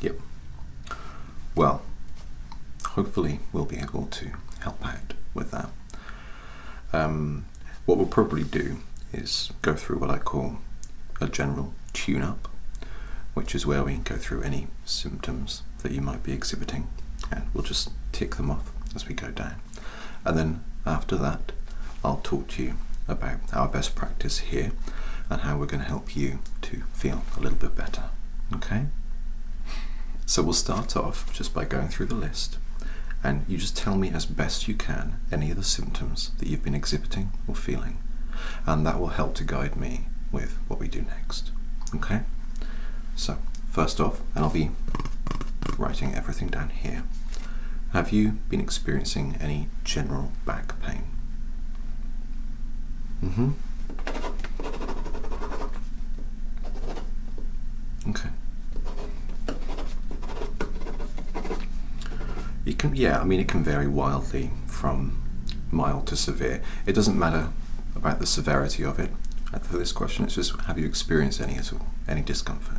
Yep. Well, hopefully we'll be able to help out with that. Um, what we'll probably do is go through what I call a general tune-up, which is where we go through any symptoms that you might be exhibiting and we'll just tick them off as we go down. And then after that, I'll talk you about our best practice here and how we're going to help you to feel a little bit better. Okay? So we'll start off just by going through the list and you just tell me as best you can any of the symptoms that you've been exhibiting or feeling and that will help to guide me with what we do next. Okay? So, first off, and I'll be writing everything down here. Have you been experiencing any general back pain? Mm-hmm. Okay. It can, yeah, I mean, it can vary wildly from mild to severe. It doesn't matter about the severity of it. Uh, for this question, it's just have you experienced any at all, any discomfort?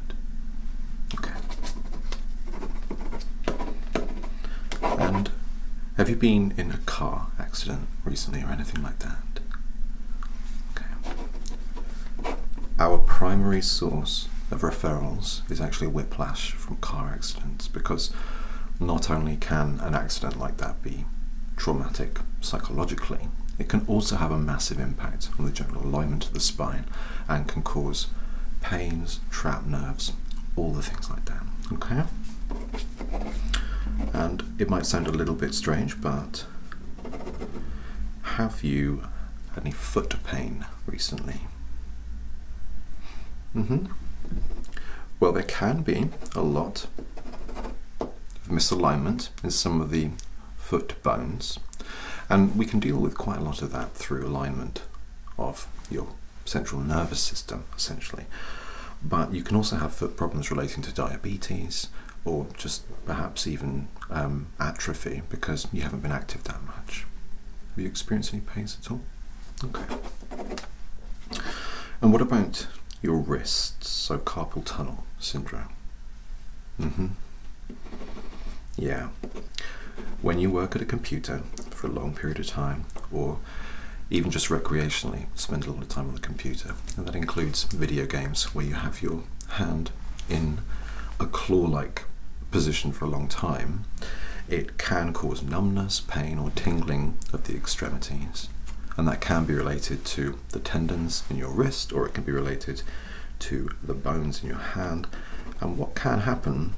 And have you been in a car accident recently or anything like that? Okay. Our primary source of referrals is actually whiplash from car accidents because not only can an accident like that be traumatic psychologically, it can also have a massive impact on the general alignment of the spine and can cause pains, trapped nerves, all the things like that. Okay? And it might sound a little bit strange, but have you had any foot pain recently? Mm-hmm. Well, there can be a lot of misalignment in some of the foot bones, and we can deal with quite a lot of that through alignment of your central nervous system, essentially. But you can also have foot problems relating to diabetes or just perhaps even um, atrophy because you haven't been active that much. Have you experienced any pains at all? Okay. And what about your wrists? So carpal tunnel syndrome. hmm yeah. When you work at a computer for a long period of time, or even just recreationally, spend a lot of time on the computer, and that includes video games where you have your hand in a claw like position for a long time, it can cause numbness, pain, or tingling of the extremities. And that can be related to the tendons in your wrist, or it can be related to the bones in your hand. And what can happen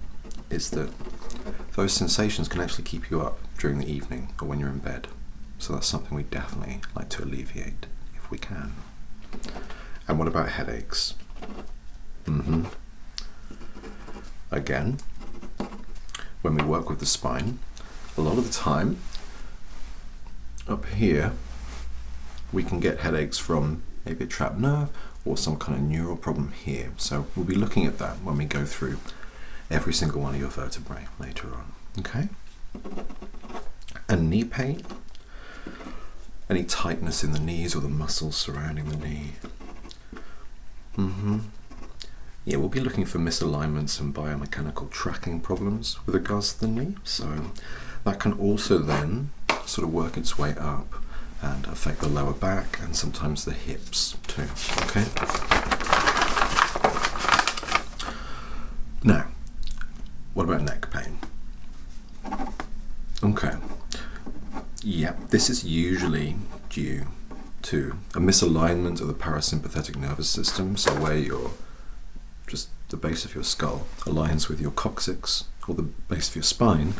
is that those sensations can actually keep you up during the evening or when you're in bed. So that's something we definitely like to alleviate if we can. And what about headaches? Mm-hmm. Again, when we work with the spine, a lot of the time up here we can get headaches from a bit trapped nerve or some kind of neural problem here. So we'll be looking at that when we go through every single one of your vertebrae later on. Okay? And knee pain, any tightness in the knees or the muscles surrounding the knee. Mm-hmm. Yeah, we'll be looking for misalignments and biomechanical tracking problems with a gus the knee. So that can also then sort of work its way up and affect the lower back and sometimes the hips too. Okay. Now, what about neck pain? Okay. Yep. this is usually due to a misalignment of the parasympathetic nervous system, so where your just the base of your skull aligns with your coccyx or the base of your spine,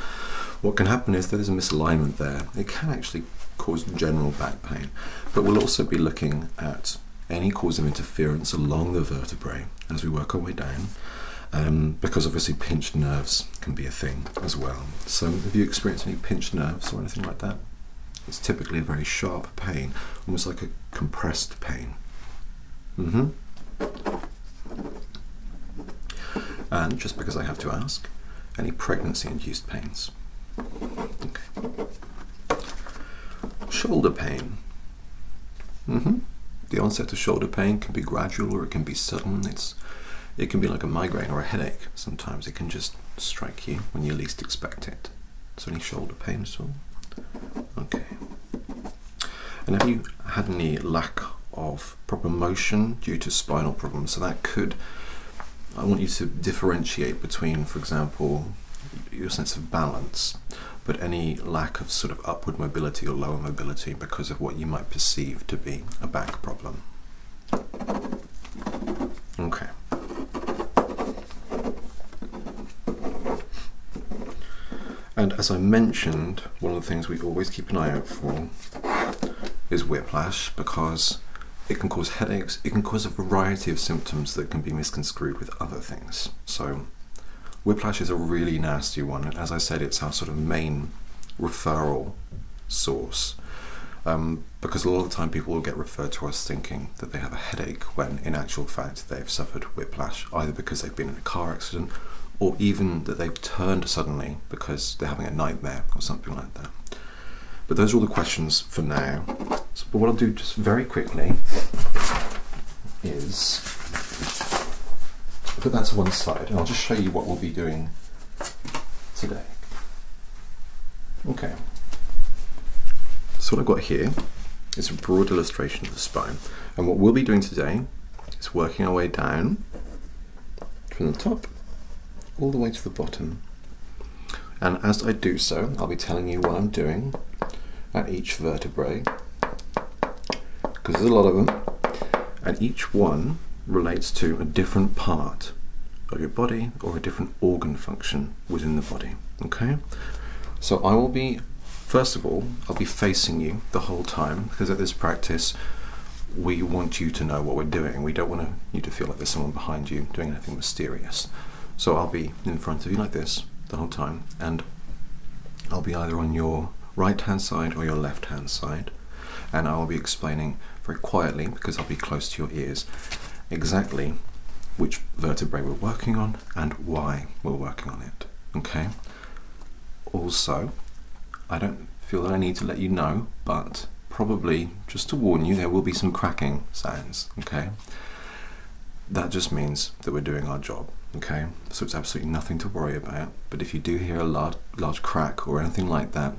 what can happen is there is a misalignment there. It can actually cause general back pain, but we'll also be looking at any cause of interference along the vertebrae as we work our way down, um, because obviously pinched nerves can be a thing as well. So, have you experienced any pinched nerves or anything like that? It's typically a very sharp pain, almost like a compressed pain. hmm. And um, just because I have to ask, any pregnancy induced pains? Okay. Shoulder pain. -hmm. The onset of shoulder pain can be gradual or it can be sudden. It's, it can be like a migraine or a headache. Sometimes it can just strike you when you least expect it. So any shoulder pain at all? Okay. And have you had any lack of proper motion due to spinal problems, so that could, I want you to differentiate between, for example, your sense of balance, but any lack of sort of upward mobility or lower mobility because of what you might perceive to be a back problem. Okay. And as I mentioned, one of the things we always keep an eye out for is whiplash because it can cause headaches, it can cause a variety of symptoms that can be misconstrued with other things. So, whiplash is a really nasty one, and as I said, it's our sort of main referral source. Um, because a lot of the time people will get referred to us thinking that they have a headache when in actual fact they've suffered whiplash, either because they've been in a car accident or even that they turned suddenly because they're having a nightmare or something like that. But those are all the questions for now. but what I'll do just very quickly is put that to one side and I'll just show you what we'll be doing today. Okay. So what I've got here is a broad illustration of the spine. And what we'll be doing today it's working our way down from the top all the way to the bottom. And as I do so, I'll be telling you what I'm doing at each vertebrae, because there's a lot of them, and each one relates to a different part of your body or a different organ function within the body, okay? So I will be First of all, I'll be facing you the whole time because at this practice, we want you to know what we're doing. We don't want you to feel like there's someone behind you doing anything mysterious. So I'll be in front of you like this the whole time, and I'll be either on your right hand side or your left hand side, and I'll be explaining very quietly because I'll be close to your ears exactly which vertebrae we're working on and why we're working on it. Okay? Also, I don't feel that I need to let you know, but probably just to warn you, there will be some cracking sounds, okay? That just means that we're doing our job, okay? So it's absolutely nothing to worry about, but if you do hear a large, large crack or anything like that,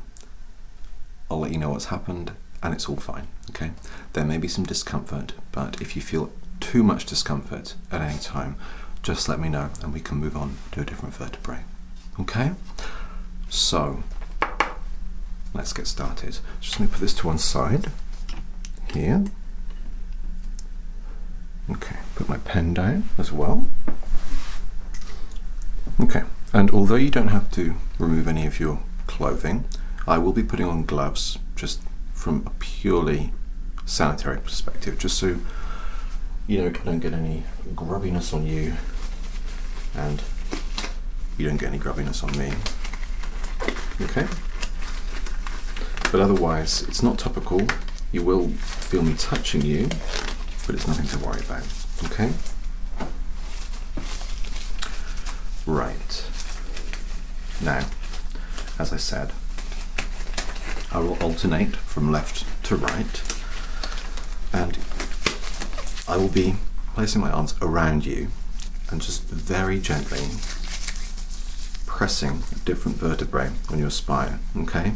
I'll let you know what's happened and it's all fine, okay? There may be some discomfort, but if you feel too much discomfort, at any time, just let me know and we can move on to a different vertebrae. Okay? So, let's get started. Just let me put this to one side here. Okay, put my pen down as well. Okay, and although you don't have to remove any of your clothing, I will be putting on gloves just from a purely sanitary perspective, just so you know I don't get any grubbiness on you and you don't get any grubbiness on me. Okay? But otherwise, it's not topical. You will feel me touching you, but it's nothing to worry about. Okay? Right. Now, as I said. I will alternate from left to right and I will be placing my arms around you and just very gently pressing different vertebrae on your spine, okay?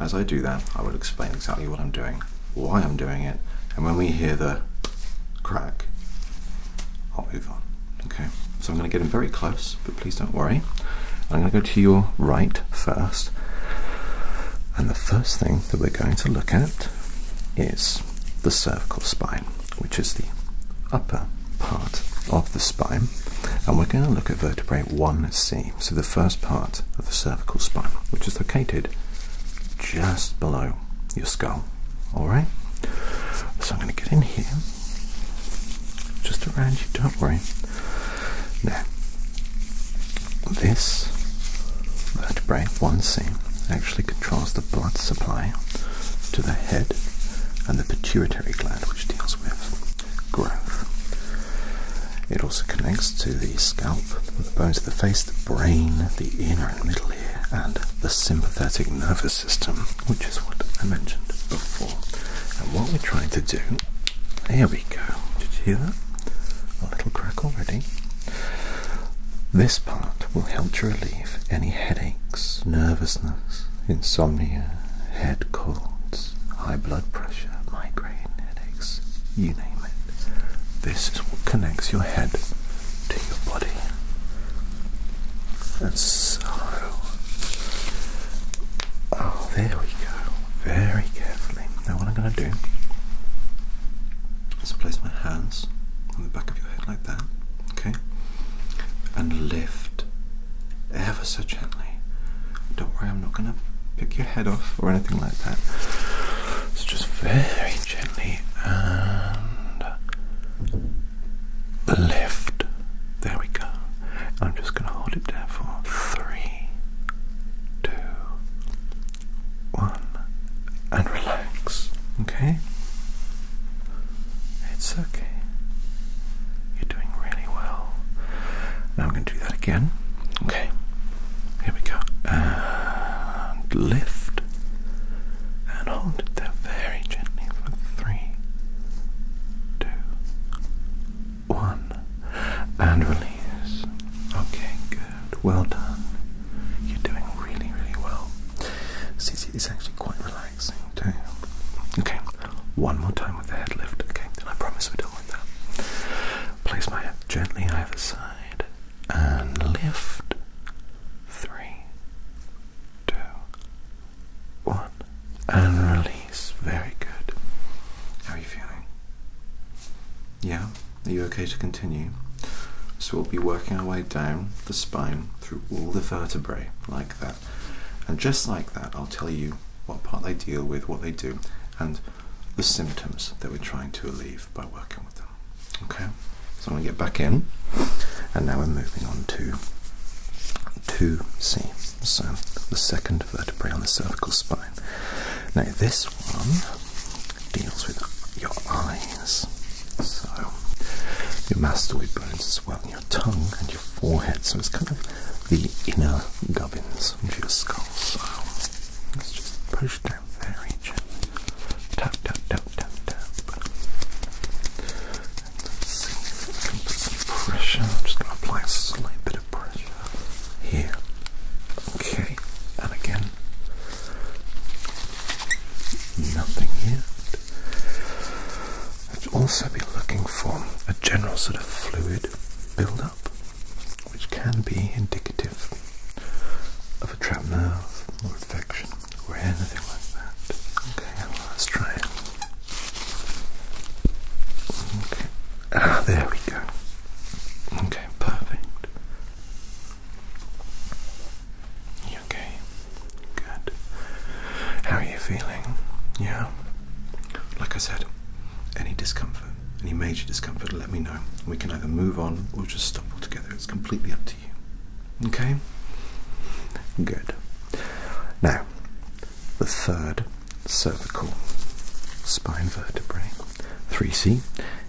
As I do that, I will explain exactly what I'm doing, why I'm doing it, and when we hear the crack, I'll move on, okay? So I'm gonna get in very close but please don't worry. I'm going to go to your right first. And the first thing that we're going to look at is the cervical spine, which is the upper part of the spine. And we're going to look at vertebrae 1C, so the first part of the cervical spine, which is located just below your skull. Alright? So I'm going to get in here, just around you, don't worry. Now, this vertebrae, one seam, actually controls the blood supply to the head and the pituitary gland, which deals with growth. It also connects to the scalp, the bones of the face, the brain, the inner and middle ear, and the sympathetic nervous system, which is what I mentioned before. And what we're trying to do, here we go. Did you hear that? A little crack already. This part will help to relieve any headaches, nervousness, insomnia, head colds, high blood pressure, migraine headaches, you name it. This is what connects your head to your body. That's Oh, there we go. Very carefully. Now, what I'm going to do is place my hands on the back of your head like that, okay? And lift ever so gently. Don't worry, I'm not going to pick your head off or anything like that. It's just very gently and lift. There we go. I'm just going to hold it there for three, two, one, and relax. Okay? It's okay. You're doing really well. Now I'm going to do that again. Okay? Here we go. And lift. And hold it there very gently for three, two, one and release. Okay, good. Well done. You're doing really, really well. See, it's actually quite relaxing too. Okay, one more time with the head lift. Okay, then I promise we don't with that. Place my head gently either side and lift. Three, two, one and release. Very good. How are you feeling? Yeah? Are you okay to continue? So we'll be working our way down the spine through all the vertebrae, like that. And just like that, I'll tell you what part they deal with, what they do, and the symptoms that we're trying to relieve by working with them. Okay? So I'm going to get back in, and now we're moving on to 2C so the second vertebrae on the cervical spine. Now, this one deals with your eyes, so your mastoid bones as well, and your tongue and your forehead. So it's kind of the inner gubbins of your skull. So let's just push down very gently. Tap, tap, tap, tap, tap. I am just going to apply a slight bit of pressure here. Okay, and again, nothing here. I'd also be looking for a general sort of fluid buildup, which can be indicative of a trapped nerve or infection or anything like that. Okay, let's try it. Okay. Ah, there we go. Okay, perfect. okay? Good. How are you feeling? Yeah? Like I said, any discomfort, any major discomfort, let me know. We can either move on or just stop altogether. It's completely up to you. Okay? Good. Now, the third cervical spine vertebrae. 3C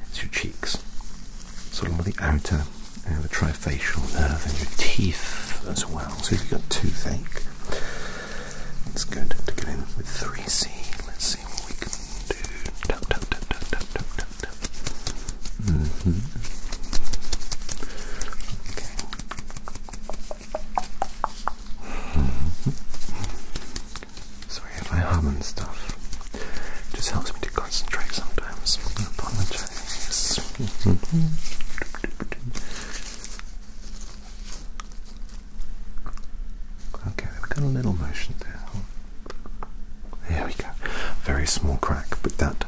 It's your cheeks, So along with the outer you uh, know, the trifacial nerve and your teeth as well. So if you've got toothache, it's good to get in with 3C. Let's see what we can do. Sorry if I hum and stuff. It just helps me to concentrate sometimes. I apologize. okay, we've got a little motion there. There we go. Very small crack, but that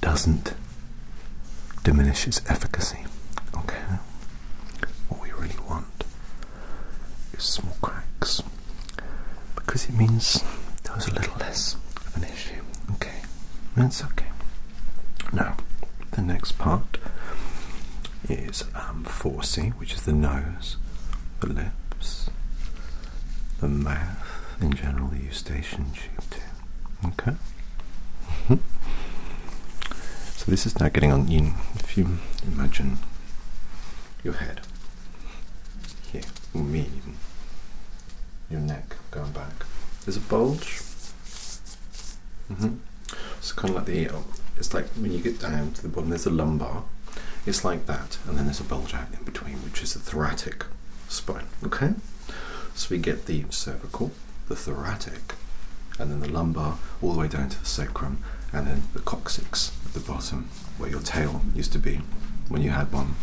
doesn't Diminishes efficacy. Okay, what we really want is small cracks because it means there was a little less of an issue. Okay, that's okay. Now, the next part is um, which is the nose, the lips, the mouth, in general, the eustachian tube, Okay. Mm-hmm. So this is now getting on If you imagine your head here, or your neck going back. There's a bulge. Mm It's kind of like the It's like when you get down to the bottom, there's a lumbar. It's like that, and then there's a bulge out in between, which is the thoracic spine. Okay. So we get the cervical, the thoracic, and then the lumbar, all the way down to the sacrum, and then the coccyx at the bottom, where your tail used to be when you had one.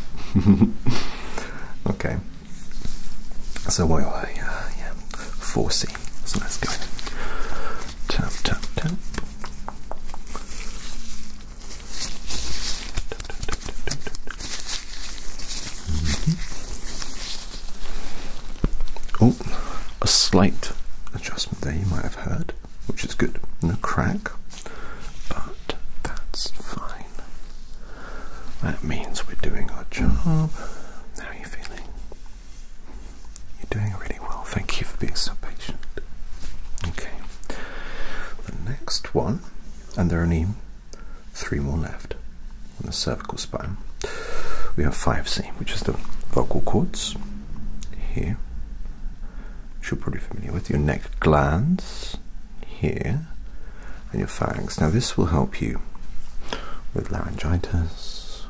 okay. So while I uh, yeah, so let's go. tap, tap, tap. Mm-hmm. Oh, a slight adjustment there you might have heard, which is good. No crack, but that's fine. That means we're doing our job. How are you feeling? You're doing really well. Thank you for being so patient. Okay. The next one, and there are any three more left on the cervical spine. We have 5C, which is the vocal cords here, which you're probably familiar with, your neck glands here, and your pharynx. Now, this will help you with laryngitis,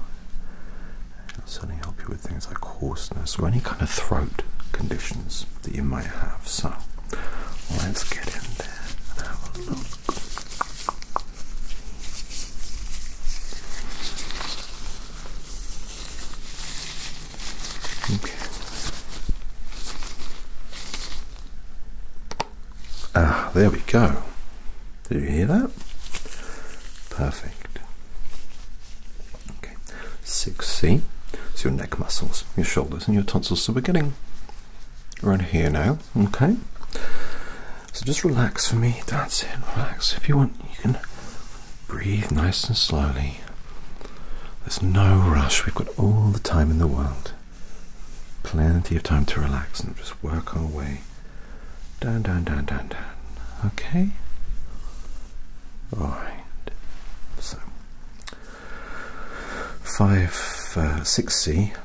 it'll certainly help you with things like hoarseness or any kind of throat conditions that you might have. So, let's get in there and have a look. Okay. Ah, there we go. Do you hear that? Perfect. Okay. 6C. It's your neck muscles, your shoulders, and your tonsils. So we're getting around here now. Okay. So just relax for me. That's it. Relax. If you want, you can breathe nice and slowly. There's no rush. We've got all the time in the world. Plenty of time to relax and just work our way down, down, down, down, down. Okay? Alright. So, 5-6C uh,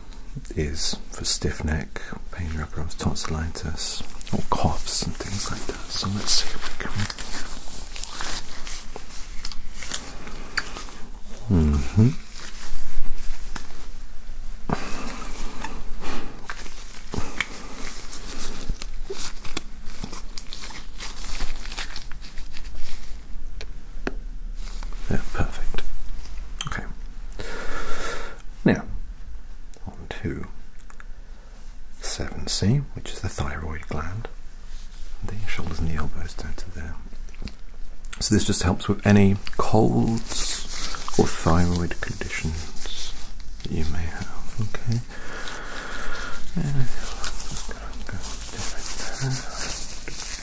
is for stiff neck, pain rubberums, tonsillitis, or coughs and things like that. So let's see if we can. Mm -hmm. Yeah, perfect. Okay. Now, on to 7C, which is the thyroid gland. The shoulders and the elbows down to there. So, this just helps with any colds or thyroid conditions that you may have. Okay.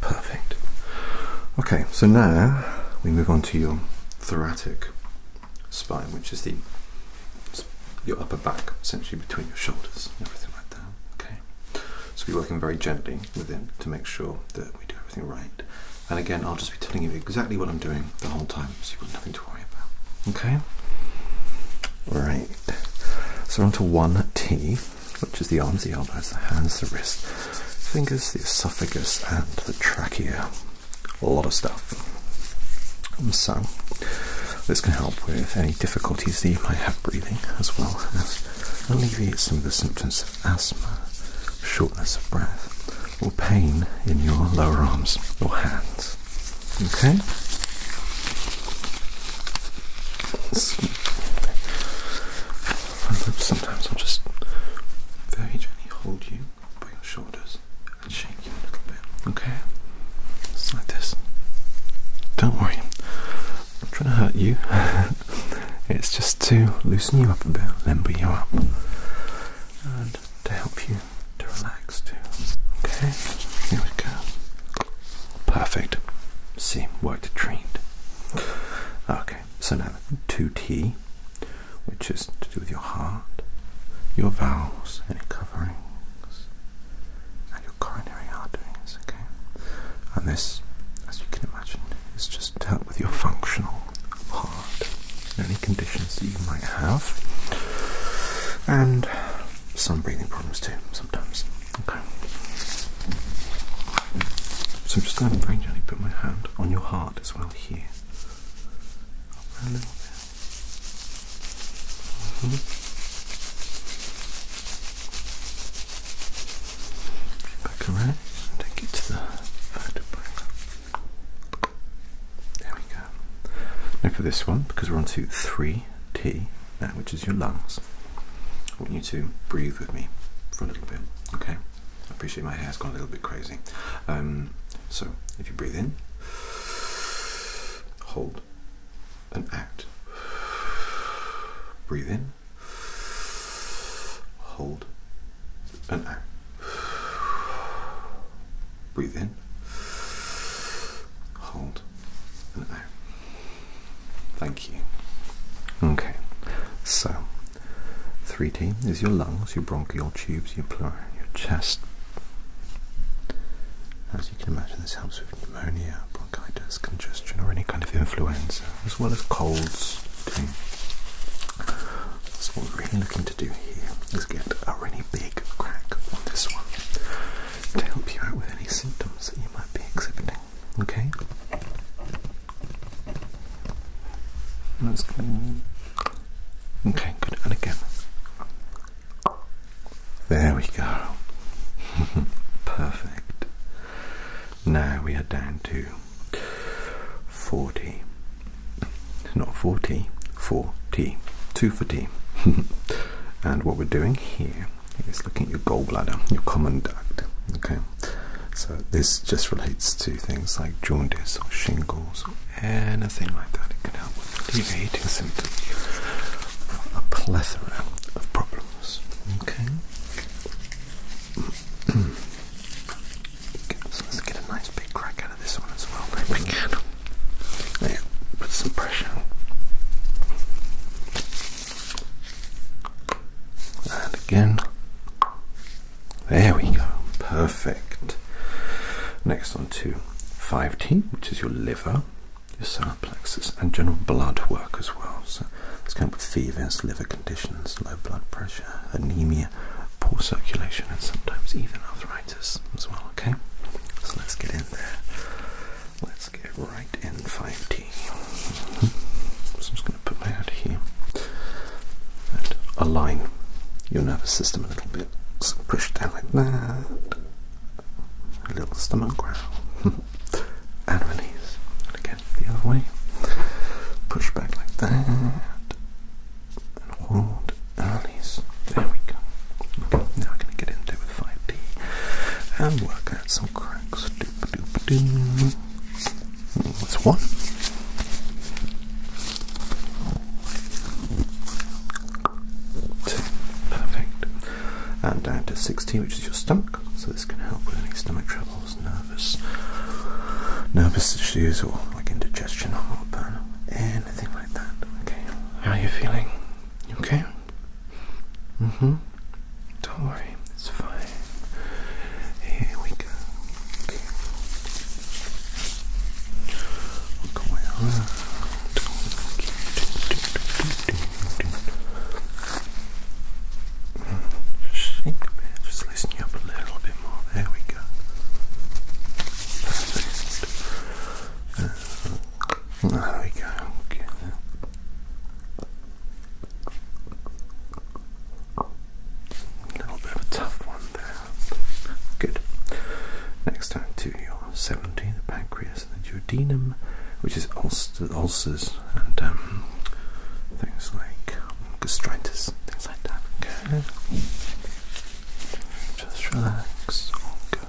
Perfect. Okay, so now we move on to your thoracic spine, which is the your upper back, essentially between your shoulders, everything like that. Okay. So we're working very gently with him to make sure that we do everything right. And again, I'll just be telling you exactly what I'm doing the whole time, so you've got nothing to worry about. Okay. Right. So on to one T which is the arms, the elbows, the hands, the wrists, fingers, the esophagus, and the trachea. A lot of stuff. Um, so, this can help with any difficulties that you might have breathing, as well as alleviate some of the symptoms of asthma, shortness of breath, or pain in your lower arms or hands. Okay? Sometimes I'll just very gently hold you by your shoulders and shake you a little bit. Okay? It's like this. Don't worry. I'm not trying to hurt you. it's just to loosen you up a bit, limber you up, and to help you to relax too. Okay? Here we go. Perfect. See, worked a treat. Okay so now 2T, which is to do with your heart, your valves, any coverings, and your coronary arteries. Okay, and this, as you can imagine, is just to help with your functional heart, any conditions that you might have, and some breathing problems too sometimes. Okay. So I'm just going to very gently put my hand on your heart as well here. a little bit. Mm-hmm. Back around take it to the vertebrae. There we go. Now for this one, because we're on to 3T which is your lungs, I want you to breathe with me for a little bit, okay? I appreciate my hair's gone a little bit crazy. Um, so, if you breathe in, hold, and out. Breathe in, hold, and out. Breathe in, hold, and out. Thank you. Okay, so. 3T is your lungs, your bronchial tubes, your pleura, your chest. As you can imagine, this helps with pneumonia, bronchitis, congestion, or any kind of influenza, as well as colds. Too. So, what we're really looking to do here is get a really big crack on this one to help you out with any symptoms that you might be exhibiting. Okay? That's us go. Okay, good. And again. There we go. Perfect. Now we are down to 40. Not 40, 40. 2 for T. and what we're doing here is looking at your gallbladder, your common duct. Okay. So this just relates to things like jaundice or shingles or anything like that. It can help with alleviating symptoms a plethora of problems. Okay. so let's get a nice big crack out of this one as well. Maybe we can. Yeah, put some pressure. And again. There we go. Perfect. Next on to 5T, which is your liver, your solar plexus, and general blood work as well. So it's going with fevers, liver conditions, low blood pressure, anemia, poor circulation, and sometimes even arthritis as well. Okay, so let's get in there. Let's get right in 5T. So I'm just going to put my head here and align your nervous system a little bit. So push down like that. A little stomach ground. and release. And again, the other way. Push back like that. And hold release. There we go. now I'm going to get into with 5D and work out some cracks. That's one. Perfect. And down to 16, which is your stomach. So this can help with any stomach troubles, nervous, nervous issues, or like indigestion, or heartburn, anything like that. Okay. How are you feeling? okay. Mm-hmm. Don't worry, it's fine. Here we go. Okay. Look around. Shake a bit, just listen up a little bit more. There we go. there we go. Okay. A little bit of a tough one there. Good. Next time to your 17, the pancreas and the duodenum, which is ulcers and um, things like gastritis, things like that. Okay. Just relax. good.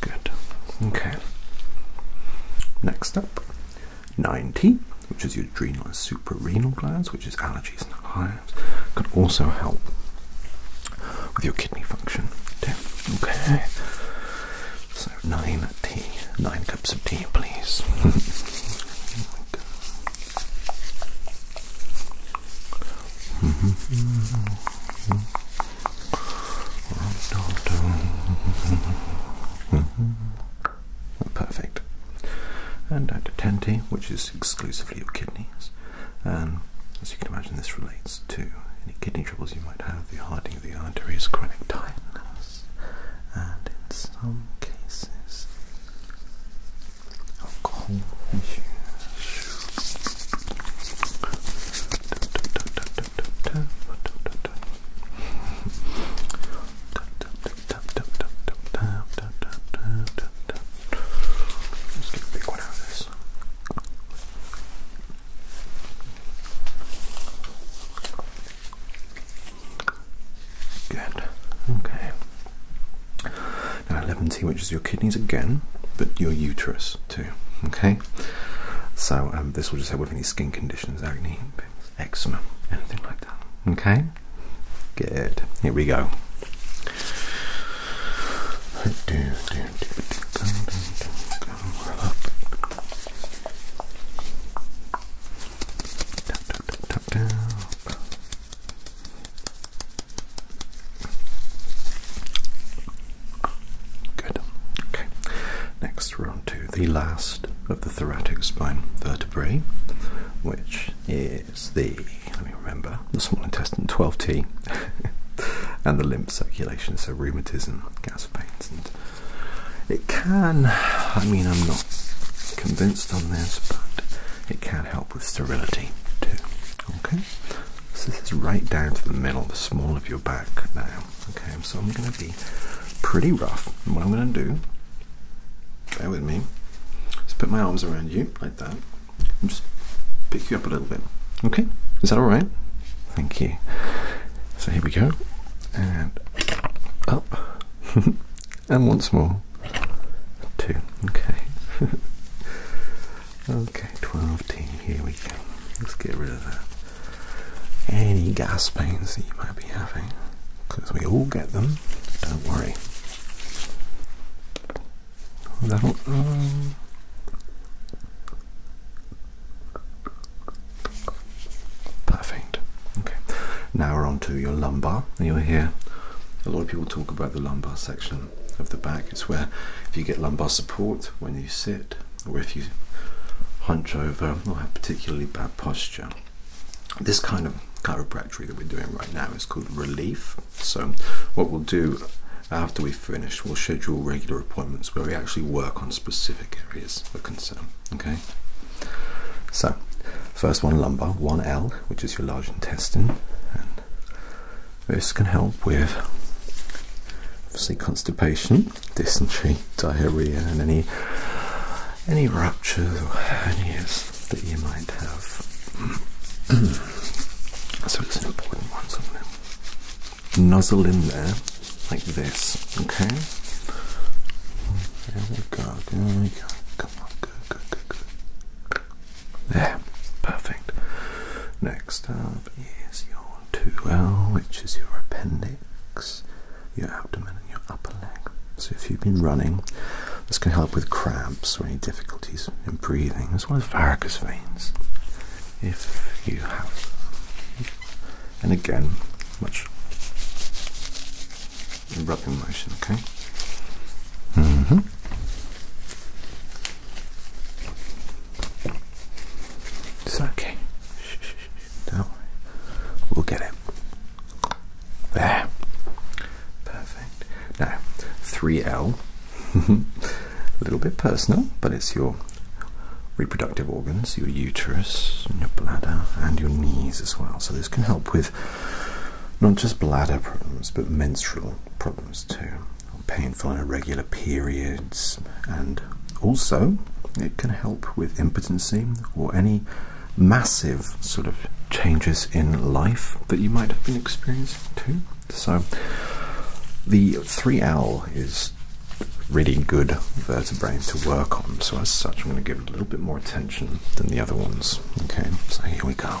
Good. Okay. Next up, 9T, which is your adrenal suprarenal glands, which is allergies and hives, can also help with your kidney function. Okay. So 9T, 9 cups of tea, please. Oh Perfect. And down to 10T, which is exclusively your kidneys. And as you can imagine, this relates to any kidney troubles you might have, the hardening of the arteries, chronic tightness, and in some cases, 空虚 let get a big one out of this. Good. Okay. Now 11T, which is your kidneys again, but your uterus too. Okay, so um, this will just help with any skin conditions, acne, eczema, anything like that. Okay, good. Here we go. Good. Okay. Next, we're on to the last of the thoracic spine vertebrae, which is the, let me remember, the small intestine 12T and the lymph circulation, so rheumatism, gas pains, and it can, I mean, I'm not convinced on this, but it can help with sterility too. Okay, so this is right down to the middle, the small of your back now. Okay, so I'm going to be pretty rough. And what I'm going to do, bear with me, just put my arms around you like that and just pick you up a little bit. Okay, is that all right? Thank you. So here we go, and up, and once more. Two. Okay. okay, 12 team. Here we go. Let's get rid of that. Any gas pains that you might be having, because we all get them. Don't worry. That'll. Um, perfect. Okay. Now we're on to your lumbar. You'll hear a lot of people talk about the lumbar section um, of the back. is where if you get lumbar support when you sit or if you hunch over or have particularly bad posture. This kind of chiropractic that we're doing right now is called relief. So what we'll do after we finish, we'll schedule regular appointments where we actually work on specific areas of concern. Okay. So first one lumbar, one L, which is your large intestine, this can help with obviously constipation, dysentery, diarrhea, and any any ruptures or hernias that you might have. so it's an important one, so I'm in there like this, okay? There we go, there we go. Come on, good, good, good. There, perfect. Next up is your 2L, which is your appendix, your abdomen, and your upper leg. So, if you've been running, this can help with cramps or any difficulties in breathing, as well as varicose veins, if you have. And again, much rubbing motion, okay? Mm hmm It's okay. Shh, shh, Don't worry. We'll get it. There. Perfect. Now, 3L. A little bit personal, but it's your reproductive organs, your uterus, your bladder, and your knees as well. So this can help with not just bladder problems but menstrual problems too, painful and irregular periods, and also it can help with impotency or any massive sort of changes in life that you might have been experiencing too. So the 3L is really good vertebrae to work on, so as such, I'm going to give it a little bit more attention than the other ones. Okay, so here we go.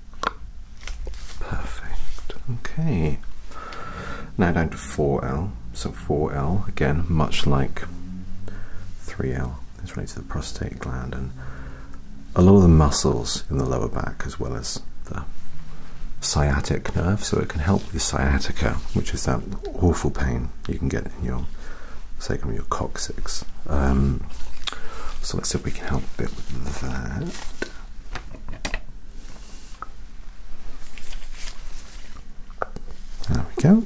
Perfect. Okay. Now down to 4L. So 4L, again, much like 3L, is related to the prostate gland and a lot of the muscles in the lower back as well as the sciatic nerve. So it can help with sciatica, which is that awful pain you can get in your sacrum, your coccyx. Um, so let's see if we can help a bit with that. There we go.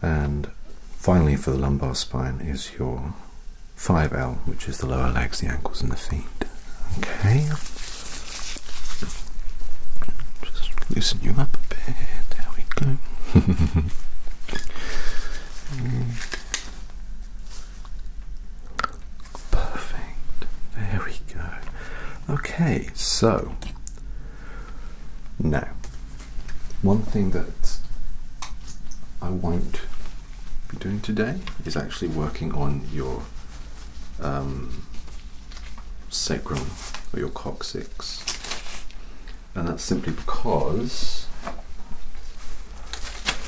And finally, for the lumbar spine, is your 5L, which is the lower legs, the ankles, and the feet. Okay. Just loosen you up a bit. There we go. Mm. Perfect. There we go. Okay, so now one thing that I won't be doing today is actually working on your um, sacrum or your coccyx, and that's simply because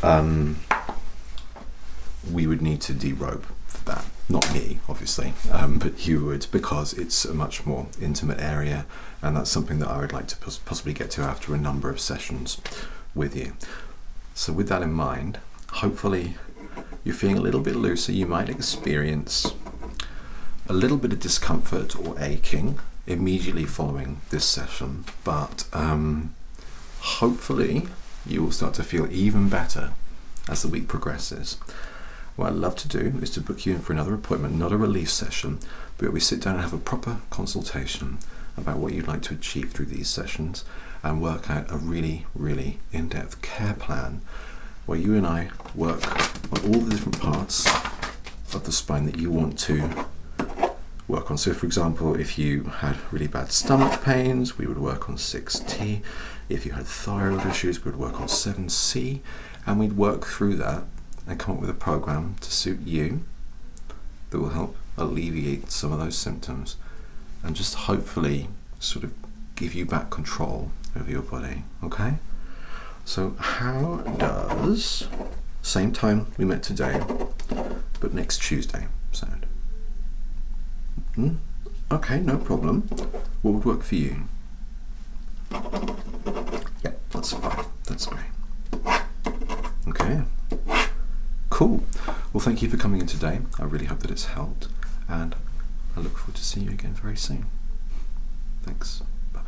um, we would need to derobe for that. Not me, obviously, um, but you would, because it's a much more intimate area, and that's something that I would like to possibly get to after a number of sessions with you. So, with that in mind, hopefully you're feeling a little bit looser. You might experience a little bit of discomfort or aching immediately following this session, but um, Hopefully, you will start to feel even better as the week progresses. What I'd love to do is to book you in for another appointment, not a relief session, but we sit down and have a proper consultation about what you'd like to achieve through these sessions and work out a really, really in depth care plan where you and I work on all the different parts of the spine that you want to work on. So for example, if you had really bad stomach pains, we would work on 6T. If you had thyroid issues, we would work on 7C. And we'd work through that and come up with a program to suit you that will help alleviate some of those symptoms and just hopefully sort of give you back control over your body, okay? So how does, same time we met today, but next Tuesday. Sound? Hmm? Okay, no problem. What would work for you? Yeah, that's fine. That's great. Okay. Cool. Well, thank you for coming in today. I really hope that it's helped, and I look forward to seeing you again very soon. Thanks. bye.